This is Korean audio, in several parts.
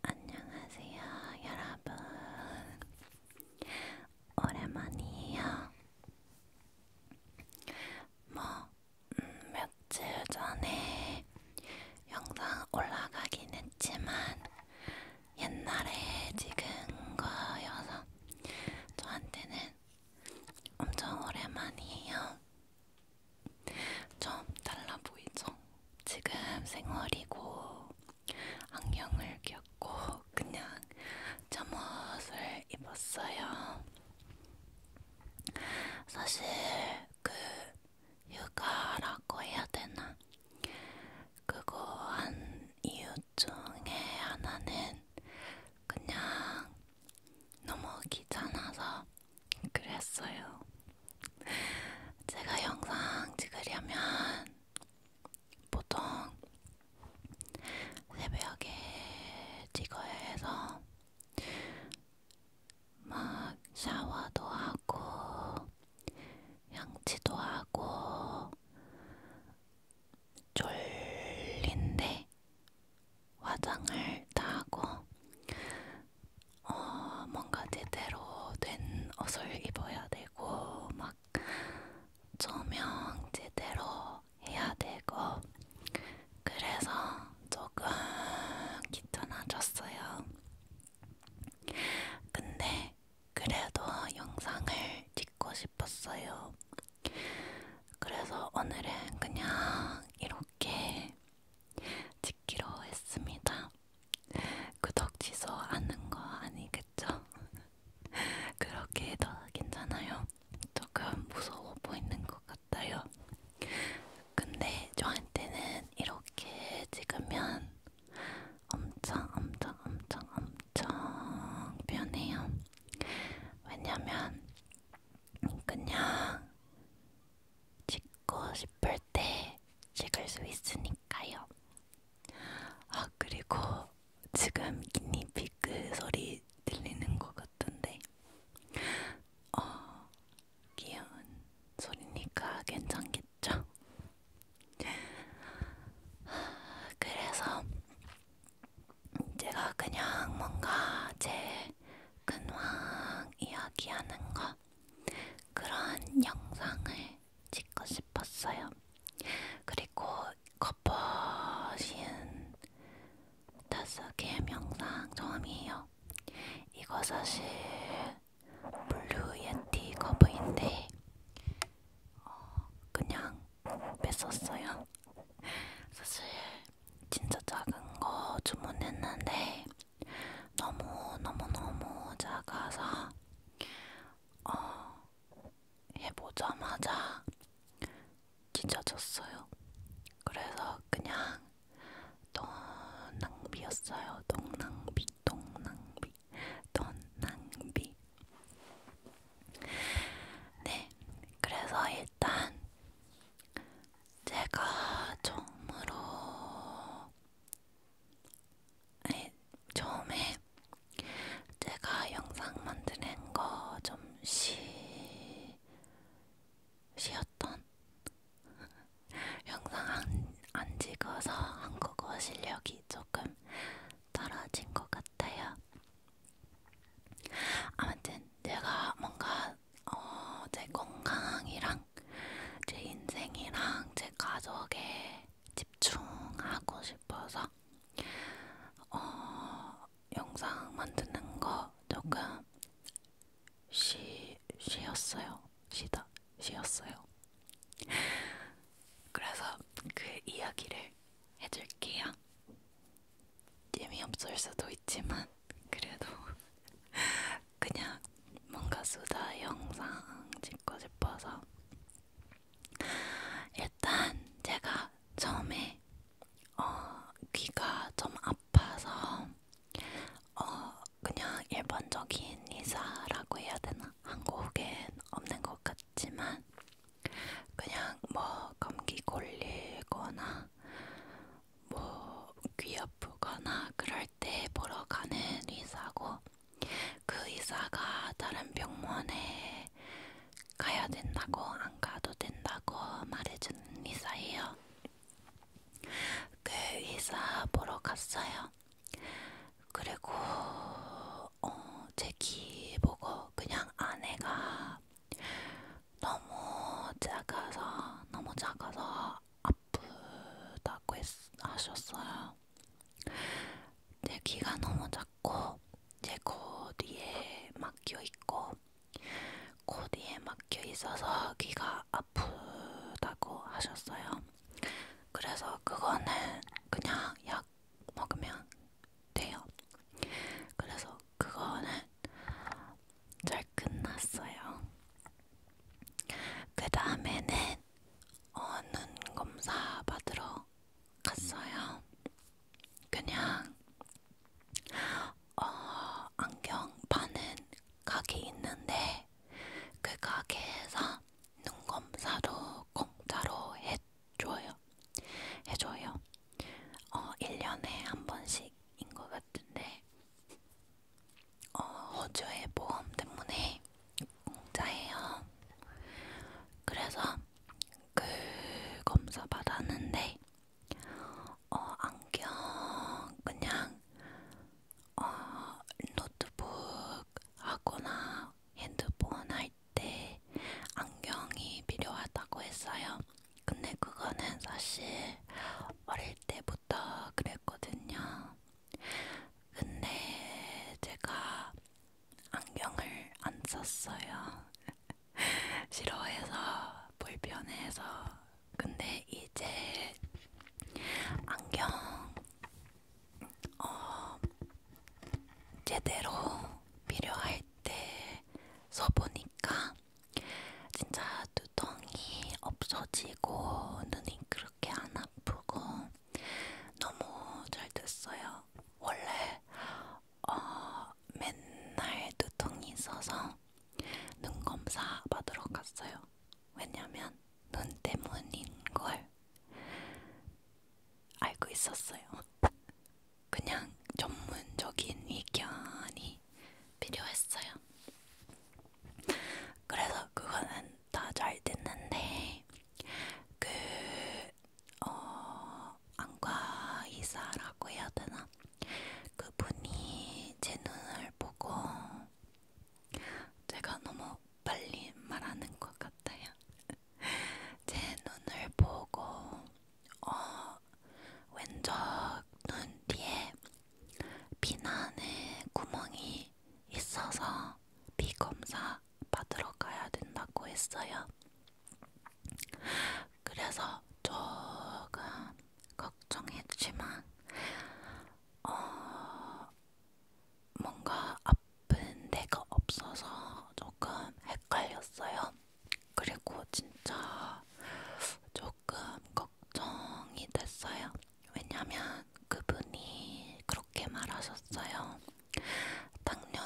안녕하세요, 여러분. 오랜만이에요. 뭐, 음, 며칠 전에 영상 올라가긴 했지만, 옛날에 찍은 거여서 저한테는 엄청 오랜만이에요. 좀 달라 보이죠? 지금 생얼이고 안경을 꼈고 그냥 잠옷을 입었어요. 사실 그 휴가라고 해야 되나? 그거 한 이유 중에 하나는 그냥 너무 귀찮아서 그랬어요. 제가 영상 찍으려면 보통 새벽에 찍어야 해서 막 샤워도 하고 양치도 하고 졸린데 화장을 다 하고 어, 뭔가 제대로 된 옷을 입어야 되고 막 조명 제대로 해야 되고 그래서 조금 귀찮아졌어요. 근데 그래도 영상을 찍고 싶었어요. 그래서 오늘은 그냥 이렇게 지키로 했습니다. 구독 취소하는 거 아니겠죠? 그렇게 해도 괜찮아요. 조금 무서워 보이는 것 같아요. 근데 저한테는 이렇게 찍으면 엄청 엄청 엄청 엄청 편해요. 왜냐면 그냥 찍고 싶을 때 찍을 수 있으니까요. 아, 그리고 지금 기니피크 소리 들리는 것 같은데, 어, 귀여운 소리니까 괜찮겠죠? 그래서 제가 그냥 뭔가 제 근황 이야기하는 것 그런 영상을 찍고 싶었어요. 그리고 커버신 다스캠 영상 처음이에요. 이거 사실 블루 예티 커버인데 어, 그냥 뺐었어요. 사실 진짜 작은 거 주문했는데 너무 너무 너무 작아서 어, 해보자마자 찢어졌어요. 그래서 그냥 돈 낭비였어요. 돈 낭비, 돈 낭비, 돈 낭비. 네, 그래서 일단 제가 처음으로 아니, 처음에 제가 영상 만드는 거 좀 쉬... 쉬었던 영상 안, 안 찍어서 한국어 실력이 조금 떨어진 것 같아요. 아무튼 내가 뭔가 어, 제 건강이랑 제 인생이랑 제 가족에 집중하고 싶어서 어, 영상 만드는 거 조금 쉬, 쉬었어요. 쉬다, 쉬었어요. 그래서 그 이야기를 해줄게요. 재미없을 수도 있지만 그래도 그냥 뭔가 수다 영상 찍고 싶어서 일단 제가 처음에 어, 귀가 좀 아파서 어, 그냥 일반적인 이사라고 해야 되나? 한국엔 없는 것 같지만 그냥 뭐 감기 걸리거나 뭐귀 아프거나 그럴 때 보러 가는 의사고 그 의사가 다른 병원에 가야 된다고 안 가도 된다고 말해주는 의사예요. 그 의사 보러 갔어요. 그리고 어, 제귀 보고 그냥 아내가 너무 작아서 너무 작아서 아프다고 했, 하셨어요. 제 귀가 너무 작고 제 코 뒤에 막혀 있고 코 뒤에 막혀 있어서 귀가 아프다고 하셨어요. 그래서 그거는 그냥 약 먹으면 돼요. 그래서 그거는 잘 끝났어요. 그 다음에는 어, 눈 검사 받으러 갔어요. 그냥 어, 안경 파는 가게 있는데 그 가게에서 눈 검사도 공짜로 해줘요. 해줘요. 어, 1년에 한 번씩 인것 같은데 어, 호주의 보험 때문에 공짜예요. 그래서 그 검사 받았는데 어, 안경 그냥 어, 노트북 하거나 핸드폰 할 때 안경이 필요하다고 했어요. 근데 그거는 사실 어릴 때부터 그랬거든요. 근데 제가 안경을 안 썼어요. 싫어해서 불편해서. 근데 이제 안경 어 제대로 필요할 때 써보니까 진짜 두통이 없어지고 눈이 그렇게 안 아프고 너무 잘 됐어요. 원래 어, 맨날 두통이 있어서 눈 검사 받으러 갔어요. 왜냐면 눈 때문인 걸 알고 있었어요. 그냥 전문적인 의견이 필요했어요. 그래서 그거는 다 잘 됐는데 그 어, 안과 의사라고 해야 되나? 그분이 제 눈을 보고 제가 너무 빨리 말하는 것 같아요. 제 눈을 보고 어, 왼쪽 눈 뒤에 비난의 구멍이 있어서 피 검사 받으러 가야 된다고 했어요. 그래서 조금 걱정했지만, 어, 뭔가 아픈 데가 없어서 조금 헷갈렸어요. 그리고 진짜 조금 걱정이 됐어요. 왜냐면 그분이 그렇게 말하셨어요. 당뇨,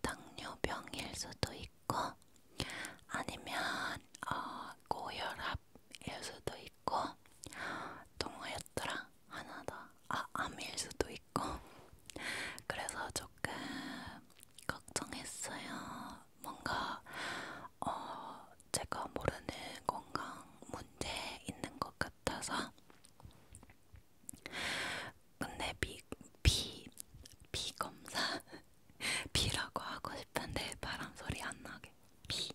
당뇨병일 수도 있고, 아니면 어, 고혈압일 수도 있고, 또 뭐였더라? 하나 더. 아, 암일 수도 있고. 그래서 조금 걱정했어요. 뭔가 어, 제가 모르는 건강 문제 있는 것 같아서. 근데 비, 비, 비 검사 비라고 하고 싶은데 바람 소리 안 나게 비,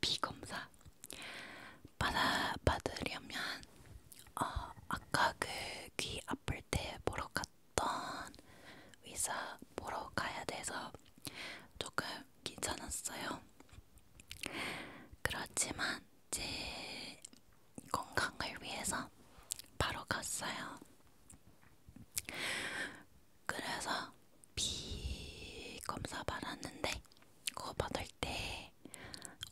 비 검사 받아 받으려면 어, 아까 그 귀 아플 때 보러 갔. 어떤 의사 보러 가야 돼서 조금 귀찮았어요. 그렇지만 제 건강을 위해서 바로 갔어요. 그래서 비 검사 받았는데 그거 받을 때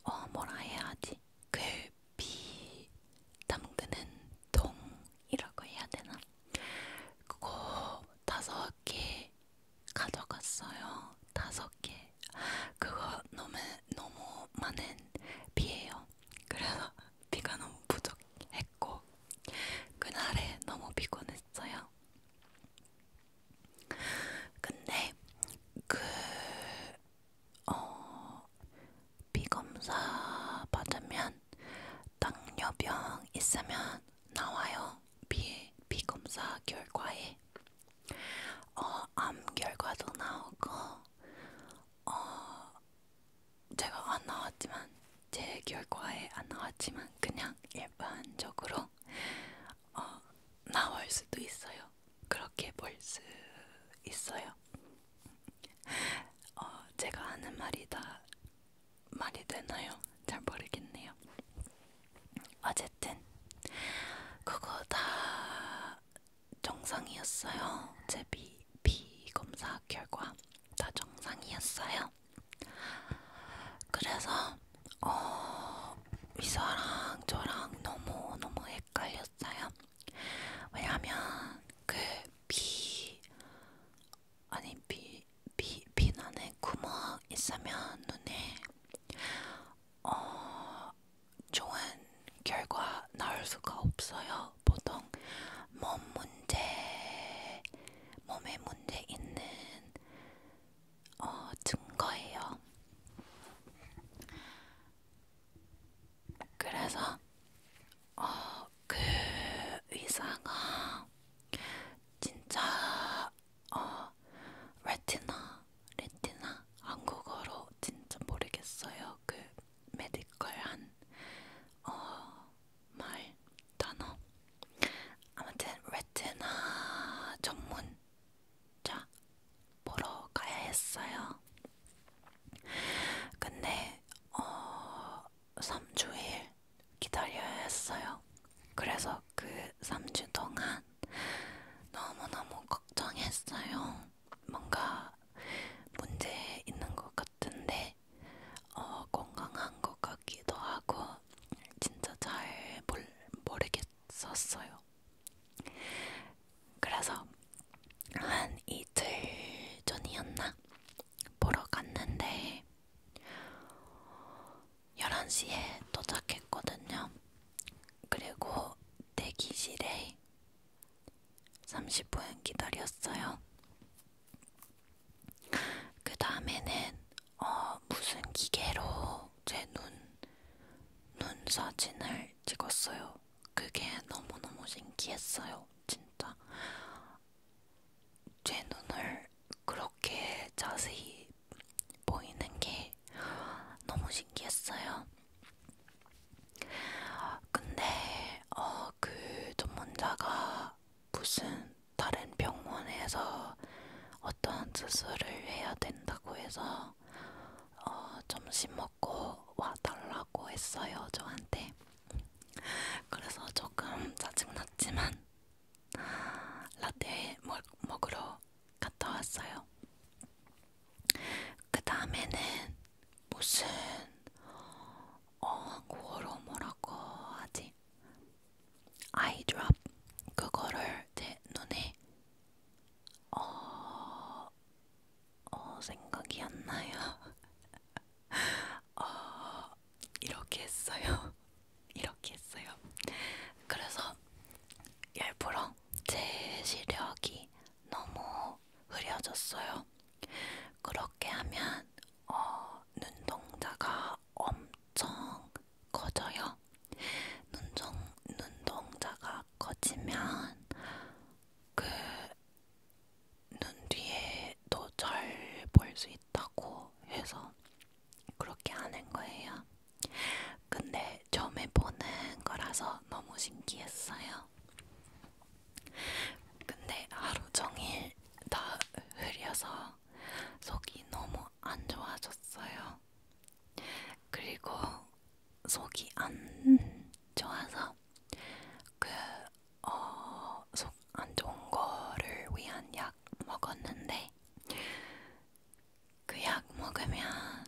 어 뭐라 해야 하지? 그비 담그는 통이라고 해야 되나? 그거 다섯 개 가져갔어요. 다섯 개. 그거 너무 너무 많은 비예요. 그래서 비가 너무 부족했고 그날에 너무 피곤했어요. 근데 그 어, 비검사 받으면 당뇨병 있으면 나와요. 비, 비검사 결과에 어, 암 결과도 나오고 어, 제가 안 나왔지만 제 결과에 안 나왔지만 그냥 일반적으로 어, 나올 수도 있어요. 그렇게 볼 수 있어요. 어, 제가 하는 말이 다 말이 되나요? 잘 모르겠네요. 어쨌든 그거 다 정상이었어요. 제 비, 비 검사 결과 다 정상이었어요. 그래서 어, 미사랑 저랑 너무 너무 헷갈렸어요. 왜냐하면 그 비, 아니 비, 비, 비난에 구멍 있으면 눈에 어, 좋은 결과 나올 수가 없어요. 보통 몸 문제, 몸에 문제 있는 어, 증거예요. 그래서 어, 그 의사가 진짜 어, 레티나 레티나 한국어로 진짜 모르겠어요. 그 메디컬한 어, 말 단어 아무튼 레티나 전문자 보러 가야 했어요. 근데 어 3주일 기다려야 했어요. 그래서 그 3주 동안 너무너무 걱정했어요. 뭔가 문제 있는 것 같은데 어, 건강한 것 같기도 하고 진짜 잘 모르, 모르겠었어요. 그래서 한 이틀 전이었나? 보러 갔는데 11시에 도착했거든요. 그리고 대기실에 30분 기다렸어요. 그 다음에는 어, 무슨 기계로 제 눈, 눈 사진을 찍었어요. 그게 너무너무 신기했어요. 진짜 제 눈을 그렇게 자세히 보이는 게 너무 신기했어요. 근데 어, 그 전문자가 무슨 다른 병원에서 어떤 수술을 해야 된다고 해서 어, 점심 먹 갖고 와달라고 했어요 저한테. 그래서 조금 짜증났지만 라떼 먹, 먹으러 갔다 왔어요. 그 다음에는 무슨 어, 한국어로 뭐라고 하지? 아이드랍 그거를 제 눈에 어, 어 생각이 안 나요. 어, 이렇게 했어요. 이렇게 했어요. 그래서 일부러 제 시력이 너무 흐려졌어요. 그렇게 하면 어, 눈동자가 엄청 커져요. 눈동, 눈동자가 커지면 그눈 뒤에도 잘볼 수 있다고 해서 그렇게 하는 거예요. 근데 처음에 보는 거라서 너무 신기했어요. 근데 하루 종일 다 흐려서 속이 너무 안 좋아졌어요. 그리고 속이 안 좋아서 그 어 속 안 좋은 거를 위한 약 먹었는데 그 약 먹으면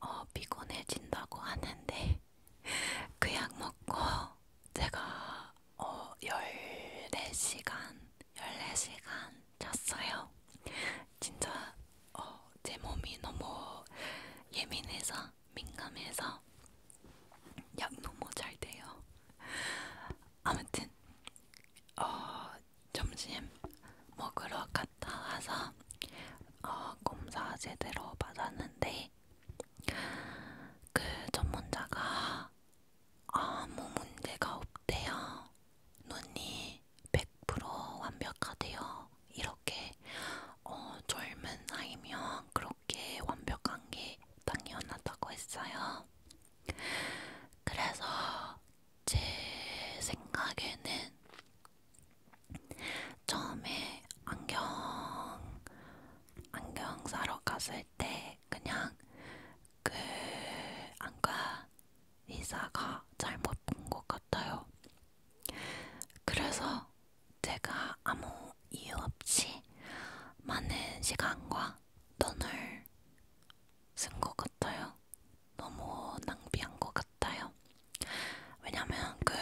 어, 피곤해진다고 하는데 그 약 먹고 제가 어, 14시간 14시간 잤어요. 진짜 어, 제 몸이 너무 예민해서 민감해서 약 너무 잘 돼요. 아무튼 어, 점심 먹으러 갔다 와서 어, 검사 제대로 받았는데 그 전문자가 아무 문제가 없대요. 눈이 네, 100% 완벽하대요. 이렇게 어, 젊은 나이면 그렇게 완벽한 게 당연하다고 했어요. 그래서 제 생각에는 처음에 안경 안경 사러 갔을 때 그냥 그 안과 의사가 잘못 본 것 같아요. 그래서 제가 아무 이유 없이 많은 시간과 돈을 쓴 것 같아요. 너무 낭비한 것 같아요. 왜냐면 그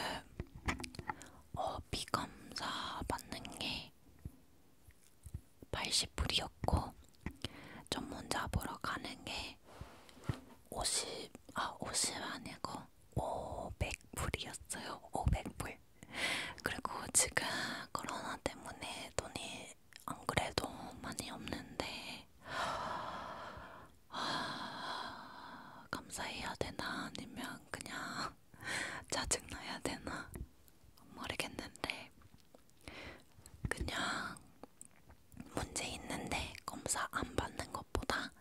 어, 비검사 받는 게 80불이었고 전문자 보러 가는 게 50, 아50 아니고 500불이었어요. 500불. 그리고 지금 코로나 때문에 돈이 안 그래도 많이 없는데 아, 감사해야 되나 아니면 그냥 짜증나야 되나 모르겠는데 그냥 문제 있는데 검사 안 받는 것보다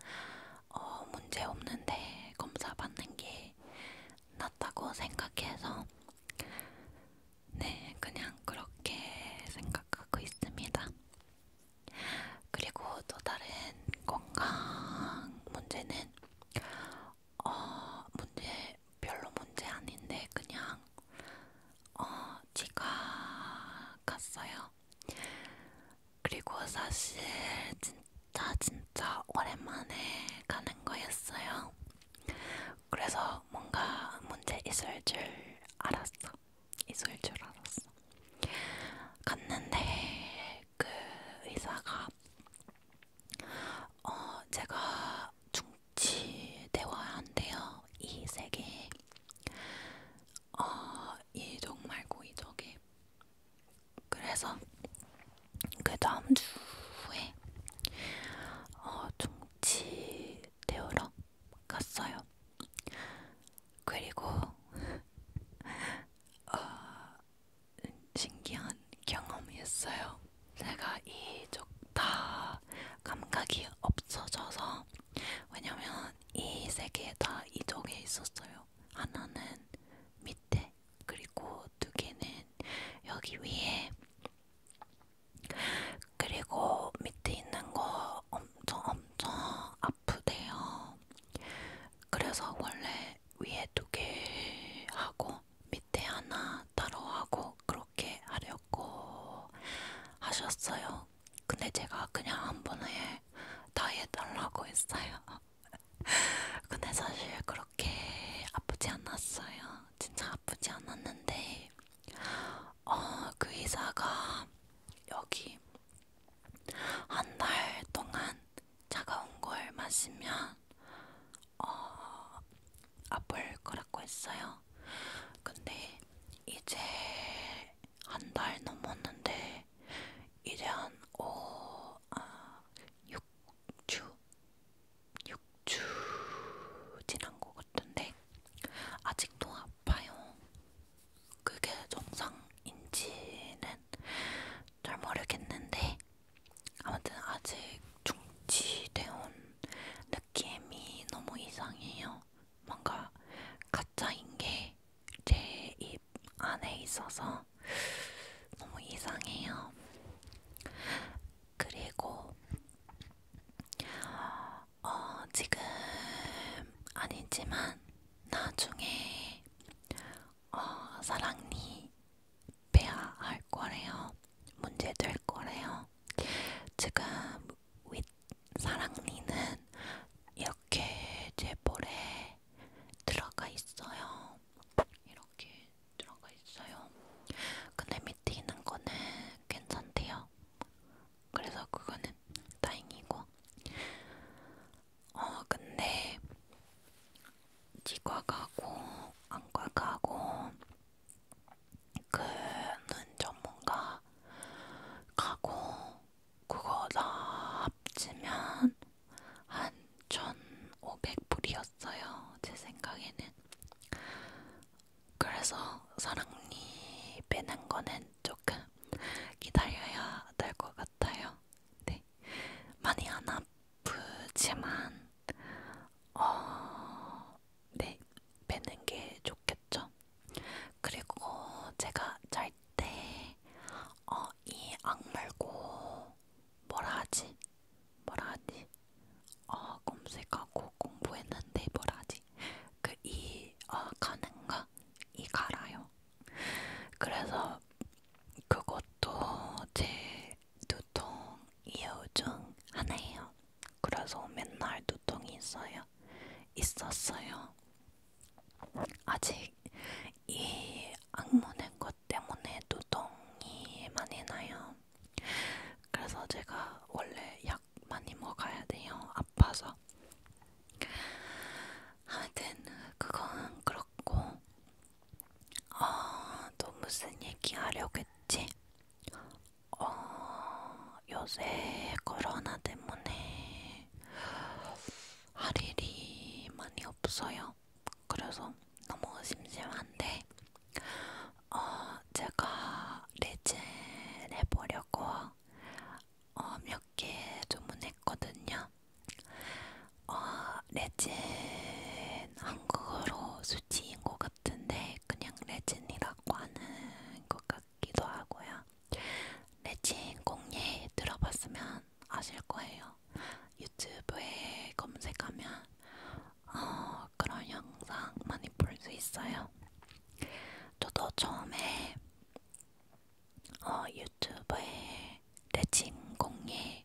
어, 문제 없는데 검사 받는 게 낫다고 생각해서 네 그냥 그렇게 생각하고 있습니다. 그리고 또 다른 건강 문제는 어 문제 별로 문제 아닌데 그냥 어 지가 갔어요. 그리고 사실 진짜 진짜 오랜만에 가는 거였어요. 그래서 뭔가 문제 있을 줄 알았어. 있을 줄 알았어. 갔는데 그 의사가 어 제가 중지되어야 한대요. 이 세계 어, 이 정말 고의적이 그래서 그 다음 주에 어, 종치 데우러 갔어요. 그리고 어, 신기한 경험이었어요. 제가 이쪽 다 감각이 없어져서 왜냐면 이세개다 이쪽에 있었어요. 하나는 밑에, 그리고 두 개는 여기 위에. 그리고 밑에 있는 거 엄청 엄청 아프대요. 그래서 원래 위에 두 개 하고 밑에 하나 따로 하고 그렇게 하려고 하셨어요. 근데 제가 그냥 한 번에 다 해달라고 했어요. 근데 사실 그렇게 아프지 않았어요. 진짜 아프지 않았는데, 어, 그 의사가 여기 한 달 동안 차가운 걸 마시면 어, 아플 거라고 했어요. 근데 이제 한달 넘었는데 이제 한 5, 아, 6주? 6주 지난 것 같은데 아직도 아파요. 그게 정상인지는 잘 모르겠는데 아무튼 아직 중지되온 느낌이 너무 이상해요. 뭔가 가짜인 게 제 입 안에 있어서 너무 이상해요. 그리고 어, 지금 아니지만 나중에 어, 사랑니 빼야 할 거래요. 문제될 거래요. 지금 윗 사랑니는 이렇게 제 볼에 들어가 있어요. 이렇게 들어가 있어요. 근데 밑에 있는 거는 괜찮대요. 그래서 그거는 다행이고. 어, 근데 치과 가고 안과 가고 그는 전문가 가고 그거 다 합치면 한 1,500불이었어요. 제 생각에는. 그래서 사랑니 빼는 거는 조금 기다려야 될 것 같아요. 네. 많이 안 아프지만 어, 네, 빼는 게 좋겠죠. 그리고 제가 잘 때 어, 이 악물고 뭐라 하지? 뭐라 하지? 어, 검색하고 공부했는데 뭐라 하지? 그이 어, 가는가? 이 갈아요. 그래서 그것도 제 두통 이유 중 하나예요. 그래서 맨날 두통이 있어요. 있었어요. 아직 이 악몽의 것 때문에 두통이 많이 나요. 그래서 제가 원래 약 많이 먹어야 돼요. 아파서. 하여튼 그건 그렇고 아, 어, 또 무슨 얘기 하려고 했지? 어, 요새 코로나 때문에 할 일이 많이 없어요. 그래서 너무 심심한데 어, 제가 레젤 해보려고 어, 몇 개 주문했거든요. 어, 레젠 한국어로 수치인 것 같은데 그냥 레젠이라고 하는 것 같, 같기도 하고요. 레진 공예 들어봤으면 아실 거예요. 유튜브에 검색하면 어, 그런 영상 많이 볼 수 있어요. 저도 처음에 어, 유튜브에 레진 공예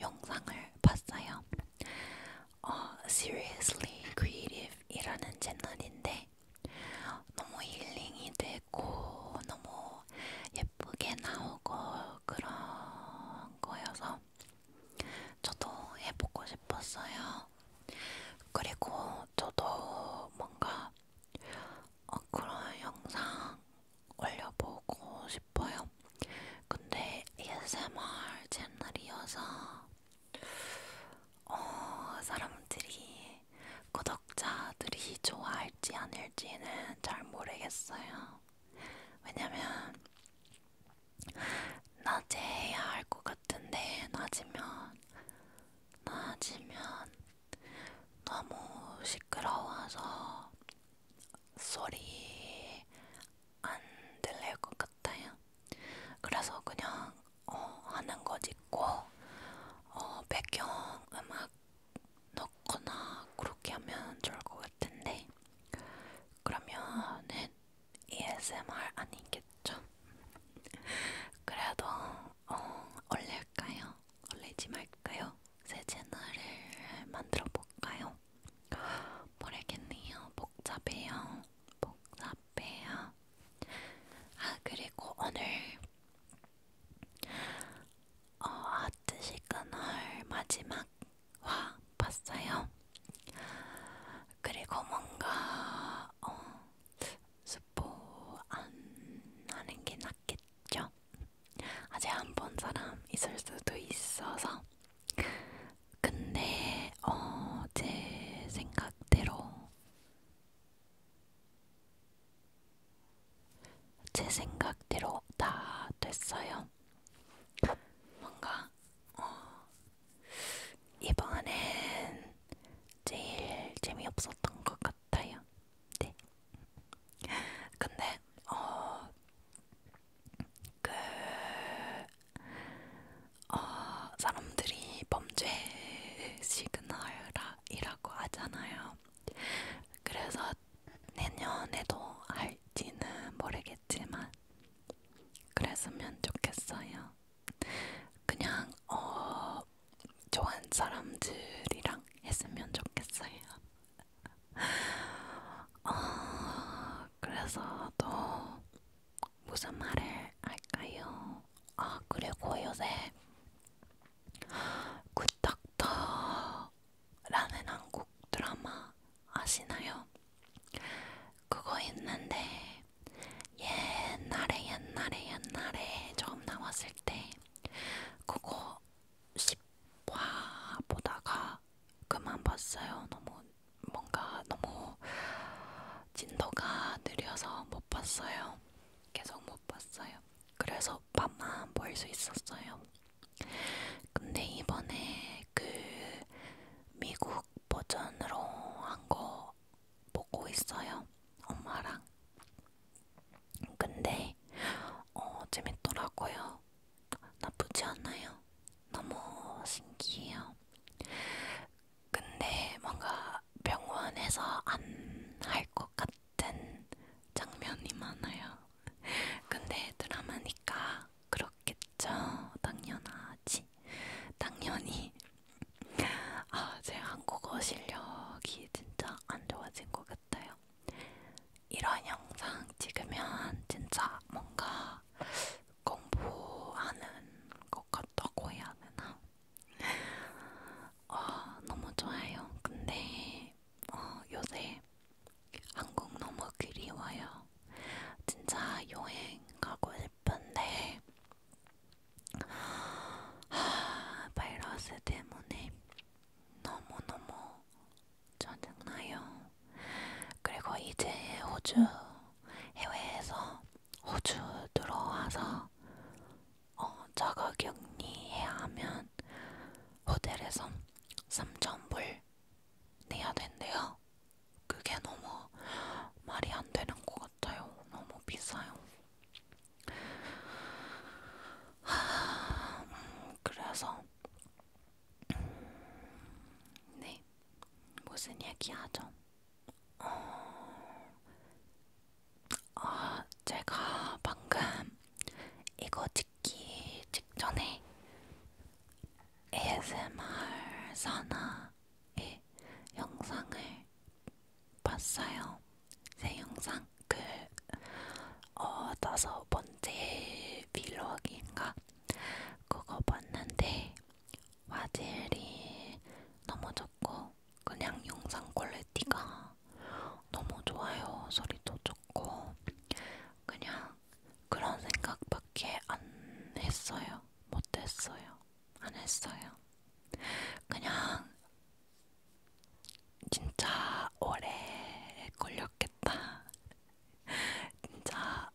영상을 봤어요. 어, Seriously Creative 이라는 채널인데 했는데 너무 힐링이 되고 너무 예쁘게 나오고 그런 거여서 저도 해보고 싶었어요. 그리고 저도 뭔가 어, 그런 영상 올려보고 싶어요. 근데 ASMR 채널이어서 어, 사람들이 구독자들이 좋아할지 않을지는 잘 모르겠어요. 왜냐면 낮에 해야 할 것 같은데 낮이면 낮이면 너무 시끄러워서 소리 안 들릴 것 같아요. 그래서 그냥 어, 하는 거 짓고 어, 배경 음악 넣거나 그렇게 하면 좋을 것 같은데 그러면은 ASMR 아니겠죠? 그래도 어, 올릴까요? 올리지 말까요? 새 채널을 만들어 볼까요? 모르겠네요. 복잡해요. 복잡 카페요. 아 그리고 오늘 어, 하트 시그널 마지막 화 봤어요. 그리고 뭔가 어, 스포 안 하는 게 낫겠죠? 아직 안 본 사람 있을 수도 있어서 근데 어, 제 생각대로 제 생각대로 다 됐어요. 뭔가 어, 이번엔 제일 재미없었던 것 같아요. 네. 근데 어, 그 어, 사람들이 범죄 시그널이라고 하잖아요. 그래서 내년에도 할지는 모르겠지만 그랬으면 좋겠어요. 그냥 어, 좋은 사람들이랑 했으면 좋겠어요. 어, 그래서 또 무슨 말을 할까요? 아 그리고 요새 굿닥터라는 한국 드라마 아시나요? 그거 있는데 옛날에 옛날에 옛날에 처음 나왔을 때 그거 10화 보다가 그만 봤어요. 너무 뭔가 너무 진도가 느려서 못 봤어요. 계속 못 봤어요. 그래서 밤만 볼 수 있었어요. 근데 이번에 그 미국 버전으로 한 거 보고 있어요. 엄마랑. 근데 어, 재밌더라고요. 나쁘지 않아요. 너무 신기해요. 근데 뭔가 병원에서 안 할 것 같은 장면이 많아요. 근데 드라마니까 그렇겠죠. 당연하지. 당연히. 아, 제 한국어 실력이 진짜 안 좋아진 것 같아요. 이런 영상 찍으면 진짜 뭔가 공부하는 것 같다고 해야 되나? 어, 너무 좋아요. 근데 어, 요새 한국 너무 그리워요. 진짜 여행 가고 싶은데 하, 바이러스 때문에 너무너무 짜증나요. 그리고 이제 호주 해외에서 호주 들어와서 어, 자가격리해야 하면 호텔에서 3,000불 내야 된대요. 그게 너무 말이 안 되는 것 같아요. 너무 비싸요. 하, 음, 그래서 음, 네 무슨 얘기하죠? 어... 어, 제가 방금 이거 찍기 직전에 ASMR 사나의 영상을 봤어요. 제 영상 그 어, 다섯 번째 빌로그인가 그거 봤는데 화질이 너무 좋고 그냥 영상 퀄리티가 너무 좋아요. 소리도 좋고 그냥 그런 생각밖에 안 했어요. 못했어요. 안 했어요. 그냥 진짜 오래 걸렸겠다. 진짜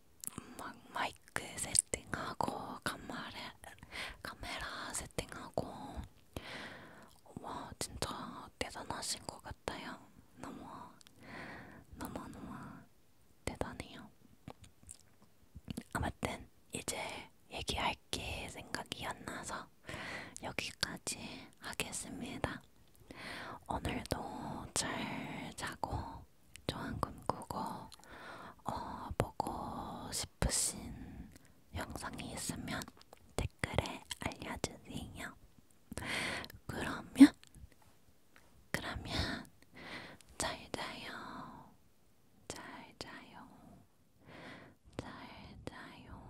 막 마이크 세팅하고 카메라 카메라 세팅하고 와 진짜 대단하신 것 같아요. 너무 너무 너무 대단해요. 아무튼 이제 얘기할 게 생각이 안 나서 여기까지 하겠습니다. 오늘도 잘 자고 좋은 꿈 꾸고 어, 보고 싶으신 영상이 있으면 댓글에 알려주세요. 그러면 그러면 잘 자요. 잘 자요. 잘 자요.